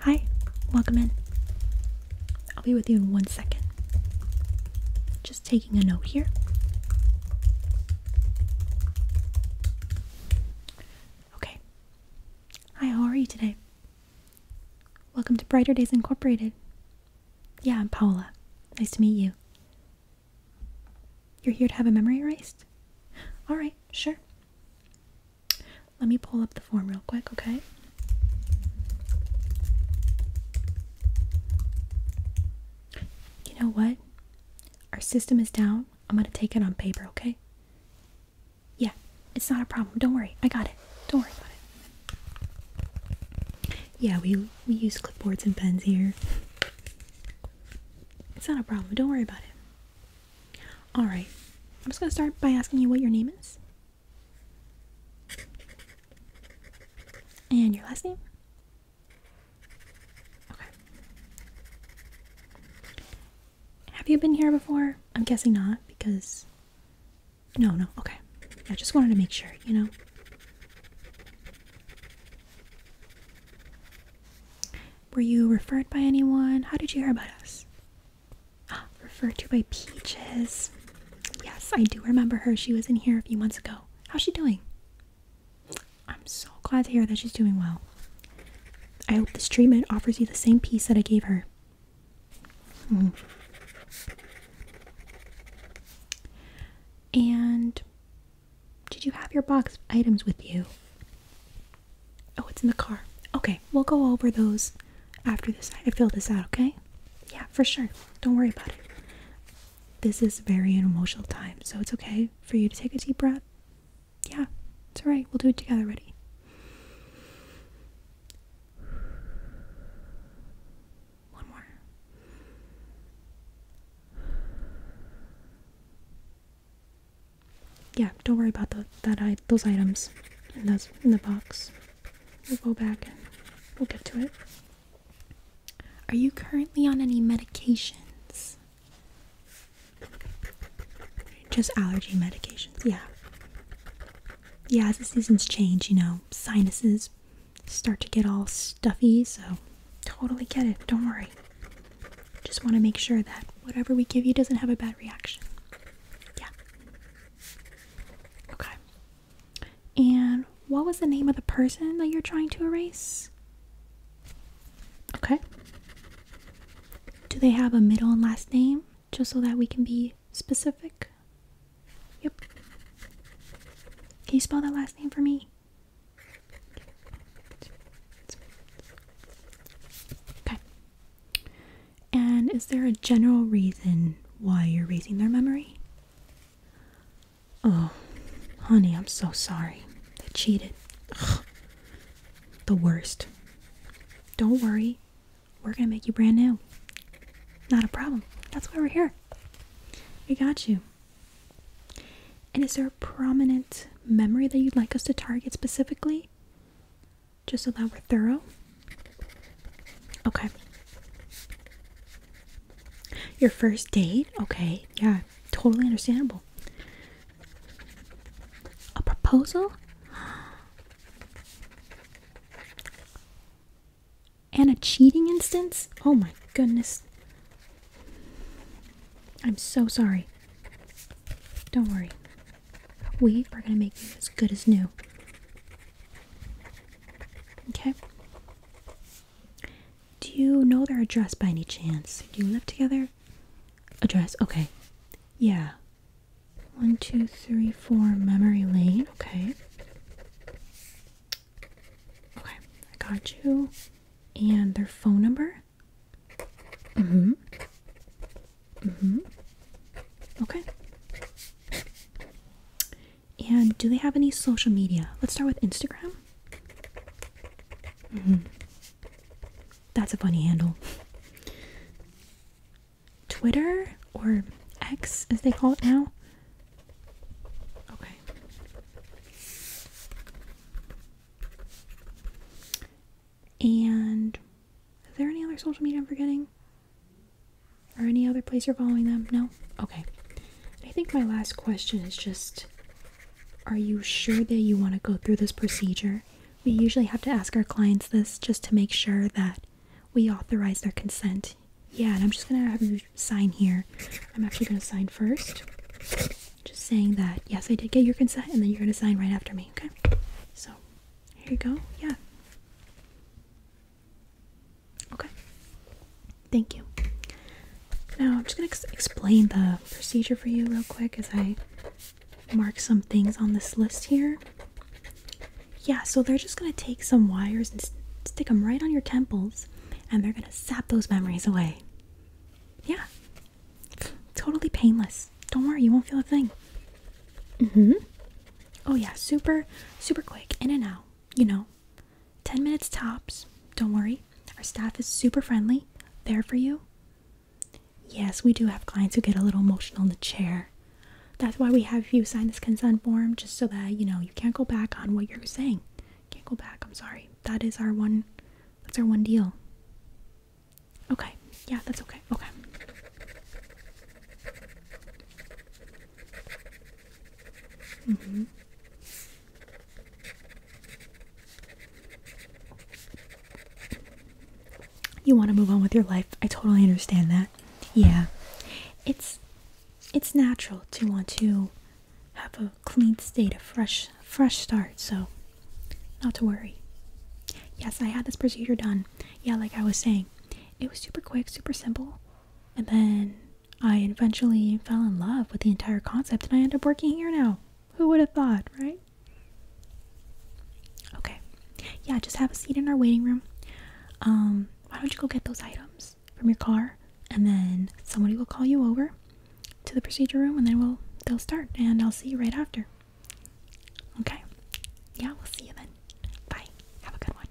Hi, welcome in. I'll be with you in one second. Just taking a note here. Okay. Hi, how are you today? Welcome to Brighter Days Incorporated. Yeah, I'm Paola. Nice to meet you. You're here to have a memory erased? Alright, sure. Let me pull up the form real quick, okay? You know what? Our system is down. I'm gonna take it on paper, okay? Yeah, it's not a problem. Don't worry. I got it. Don't worry about it. Yeah, we we use clipboards and pens here. It's not a problem. Don't worry about it. All right. I'm just going to start by asking you what your name is. And your last name? Okay. Have you been here before? I'm guessing not because. No, no. Okay. I just wanted to make sure, you know? Were you referred by anyone? How did you hear about us? referred to by Peaches. Yes, I do remember her. She was in here a few months ago. How's she doing? I'm so glad to hear that she's doing well. I hope this treatment offers you the same peace that I gave her. Mm. And did you have your box of items with you? Oh, it's in the car. Okay, we'll go over those after this. I fill this out, okay? Yeah, for sure. Don't worry about it. This is very an emotional time, so it's okay for you to take a deep breath. Yeah, it's all right. We'll do it together. Ready? One more. Yeah, don't worry about the, that I those items in those in the box. We'll go back we'll get to it. Are you currently on any medications? Just allergy medications, yeah. Yeah, as the seasons change, you know, sinuses, start to get all stuffy, so totally get it. Don't worry. Just want to make sure that whatever we give you doesn't have a bad reaction. Yeah. Okay. And what was the name of the person that you're trying to erase? Okay. Do they have a middle and last name? just so that we can be specific. Yep. Can you spell that last name for me? Okay. And is there a general reason why you're raising their memory? Oh, honey, I'm so sorry. They cheated. The worst. Don't worry we're gonna make you brand new. Not a problem. That's why we're here. We got you. And is there a prominent memory that you'd like us to target specifically? Just so that we're thorough? Okay. Your first date? Okay, yeah, totally understandable. A proposal? And a cheating instance? Oh my goodness. I'm so sorry. Don't worry. We are going to make you as good as new. Okay? Do you know their address by any chance? Do you live together? Address? Okay. Yeah. One, two, three, four, memory lane. Okay. Okay, I got you. And their phone number? Mm hmm. Mm hmm. Okay. And do they have any social media? Let's start with Instagram. Mm hmm. That's a funny handle. Twitter or X as they call it now. Okay. And is there any other social media I'm forgetting? Or any other place you're following them? No? Okay. I think my last question is just Are you sure that you want to go through this procedure? we usually have to ask our clients this just to make sure that we authorize their consent. Yeah, and I'm just gonna have you sign here. I'm actually gonna sign first. Just saying that, yes, I did get your consent, and then you're gonna sign right after me, okay? So, here you go. Yeah. Okay. Thank you. Now I'm just going to explain the procedure for you real quick as I mark some things on this list here. Yeah, so they're just going to take some wires and stick them right on your temples and they're going to sap those memories away. Yeah. Totally painless. Don't worry, you won't feel a thing. mm Mhm. oh yeah, super super quick in and out, you know. 10 minutes tops. Don't worry. Our staff is super friendly, there for you. Yes, we do have clients who get a little emotional in the chair. That's why we have you sign this consent form just so that, you know, you can't go back on what you're saying. Can't go back. I'm sorry. That is our one that's our one deal. Okay. Yeah, that's okay. Okay. Mhm. You want to move on with your life. I totally understand that. Yeah. It's it's natural to want to have a clean state, a fresh fresh start, so not to worry. Yes, I had this procedure done. Yeah, like I was saying. It was super quick, super simple. And then I eventually fell in love with the entire concept and I end up working here now. Who would have thought, right? Okay. Yeah, just have a seat in our waiting room. Um, why don't you go get those items from your car and then somebody will call you over to the procedure room and then we'll they'll start and I'll see you right after. Okay. Yeah, we'll see you then. Bye. Have a good one.